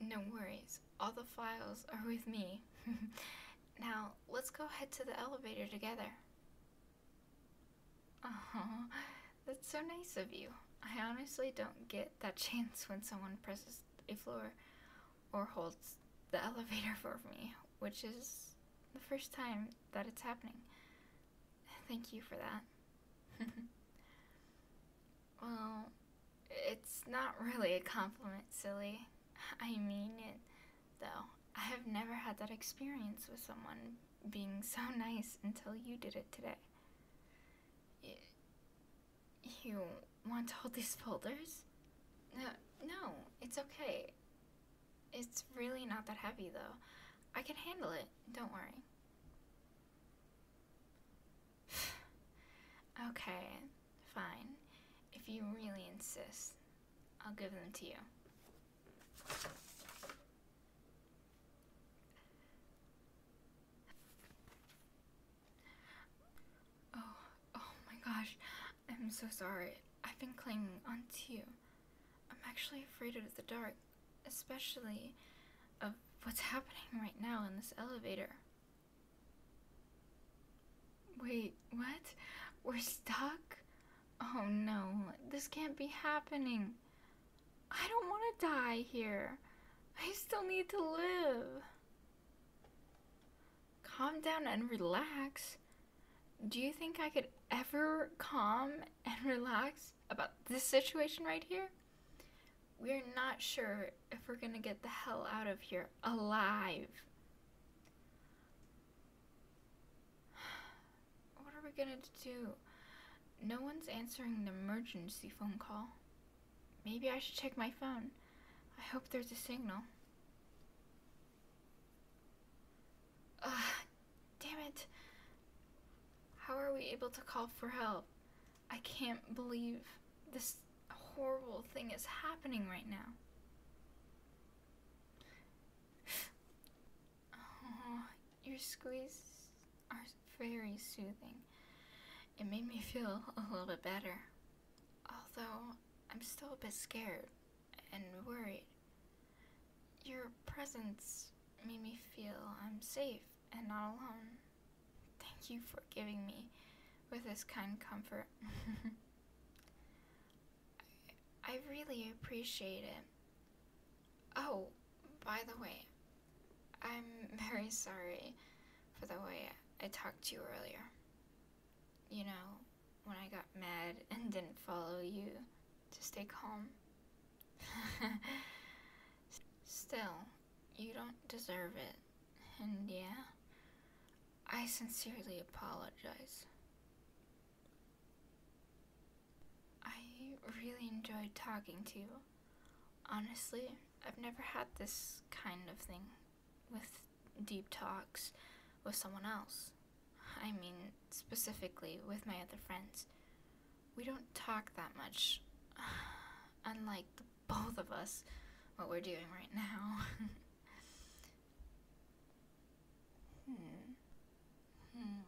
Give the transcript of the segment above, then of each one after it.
No worries, all the files are with me. now, let's go head to the elevator together. Oh, that's so nice of you. I honestly don't get that chance when someone presses a floor or holds the elevator for me, which is the first time that it's happening. Thank you for that. Well, it's not really a compliment, silly. I mean it, though. I have never had that experience with someone being so nice until you did it today. you want all these folders? No, no, it's okay. It's really not that heavy, though. I can handle it, don't worry. okay, fine. If you really insist, I'll give them to you. Oh, oh my gosh. I'm so sorry. I've been clinging onto you. I'm actually afraid of the dark, especially of what's happening right now in this elevator. Wait, what? We're stuck? Oh no, this can't be happening. I don't want to die here. I still need to live. Calm down and relax. Do you think I could ever calm and relax about this situation right here? We're not sure if we're gonna get the hell out of here alive. What are we gonna do? No one's answering the emergency phone call. Maybe I should check my phone. I hope there's a signal. Ugh, damn it. How are we able to call for help? I can't believe this horrible thing is happening right now. your squeezes are very soothing. It made me feel a little bit better. Although, I'm still a bit scared and worried. Your presence made me feel I'm safe and not alone. Thank you for giving me with this kind comfort. I, really appreciate it. Oh, by the way, I'm very sorry for the way I talked to you earlier. You know, when I got mad and didn't follow you to stay calm. Still, you don't deserve it. And yeah, I sincerely apologize. I really enjoyed talking to you. Honestly, I've never had this kind of thing with deep talks with someone else. I mean, specifically with my other friends we don't talk that much. Unlike both of us, what we're doing right now. hmm. Hmm.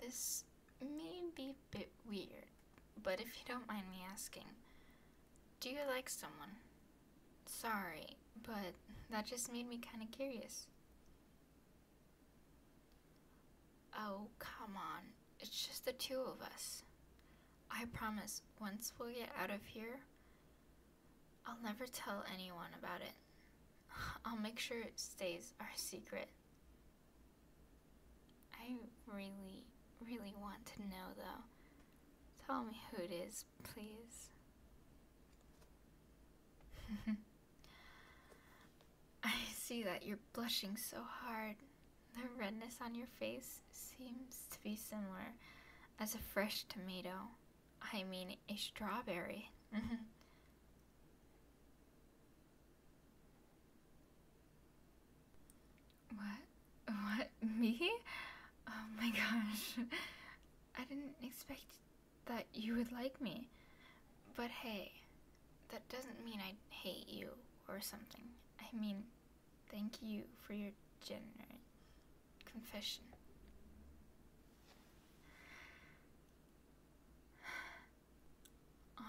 This may be a bit weird, but if you don't mind me asking, do you like someone? Sorry, but that just made me kind of curious. Oh, come on. It's just the two of us. I promise, once we get out of here, I'll never tell anyone about it. I'll make sure it stays our secret. I really, really want to know though. Tell me who it is, please. I see that you're blushing so hard. The redness on your face seems to be similar as a fresh tomato. I mean, a strawberry. Mm-hmm. what? What? Me? Oh my gosh. I didn't expect that you would like me. But hey, that doesn't mean I hate you or something. I mean, thank you for your generous confession.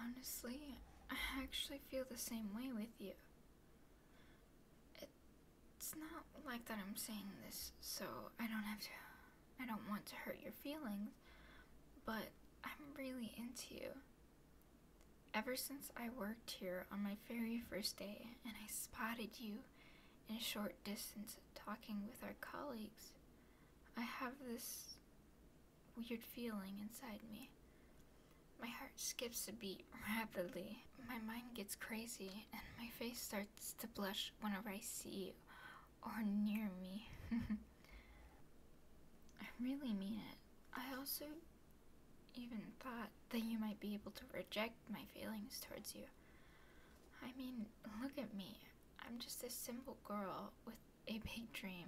Honestly, I actually feel the same way with you. It's not like that I'm saying this so I don't have to, I don't want to hurt your feelings, but I'm really into you. Ever since I worked here on my very first day and I spotted you in short distance talking with our colleagues, I have this weird feeling inside me. My heart skips a beat rapidly, my mind gets crazy, and my face starts to blush whenever I see you or near me. I really mean it. I also even thought that you might be able to reject my feelings towards you. I mean, look at me. I'm just a simple girl with a big dream,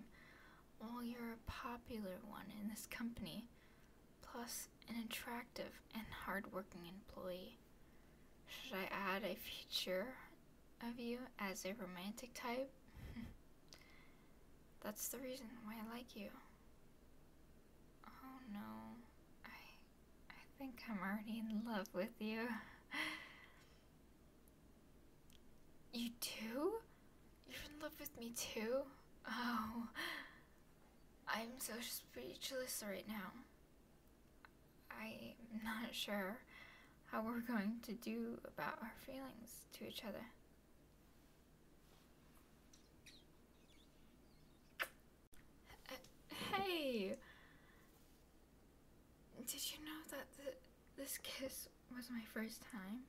while you're a popular one in this company, plus an attractive and hardworking employee. Should I add a feature of you as a romantic type? That's the reason why I like you. Oh no, I, I think I'm already in love with you. You too? You're in love with me too? Oh, I'm so speechless right now. I'm not sure how we're going to do about our feelings to each other. Hey! Did you know that this kiss was my first time?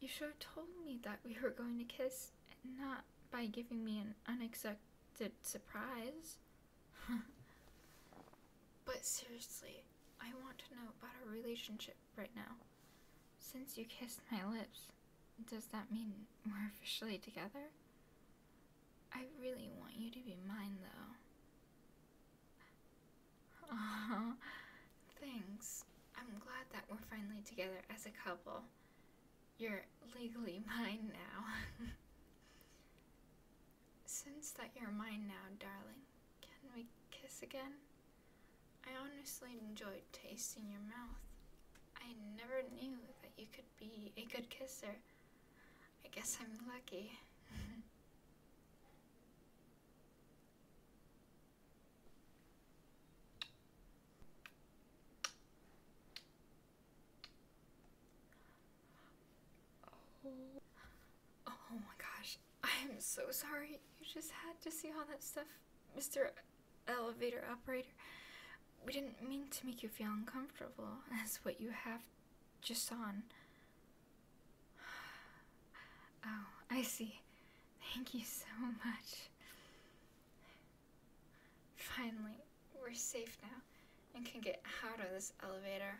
You should have told me that we were going to kiss, and not by giving me an unexpected surprise. but seriously, I want to know about our relationship right now. Since you kissed my lips, does that mean we're officially together? I really want you to be mine, though. thanks. I'm glad that we're finally together as a couple. You're legally mine now. Since that you're mine now, darling, can we kiss again? I honestly enjoyed tasting your mouth. I never knew that you could be a good kisser. I guess I'm lucky. oh. oh my gosh, I'm so sorry you just had to see all that stuff, Mr. Elevator Operator. We didn't mean to make you feel uncomfortable. That's what you have just on. Oh, I see. Thank you so much. Finally, we're safe now and can get out of this elevator.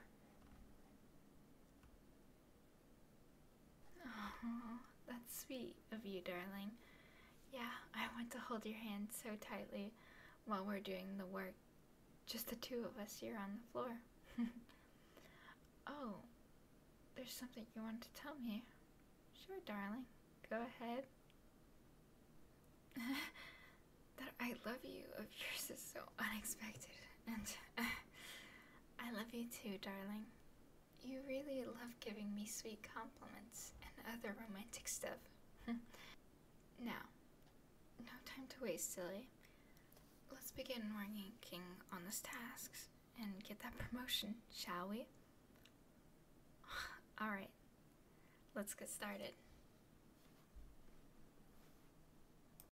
Oh, that's sweet of you, darling. Yeah, I want to hold your hand so tightly while we're doing the work. Just the two of us here on the floor. oh, there's something you want to tell me. Sure, darling. Go ahead. that I love you of yours is so unexpected and uh, I love you too, darling. You really love giving me sweet compliments and other romantic stuff. now, no time to waste, silly. Let's begin working on these tasks and get that promotion, shall we? Alright, let's get started.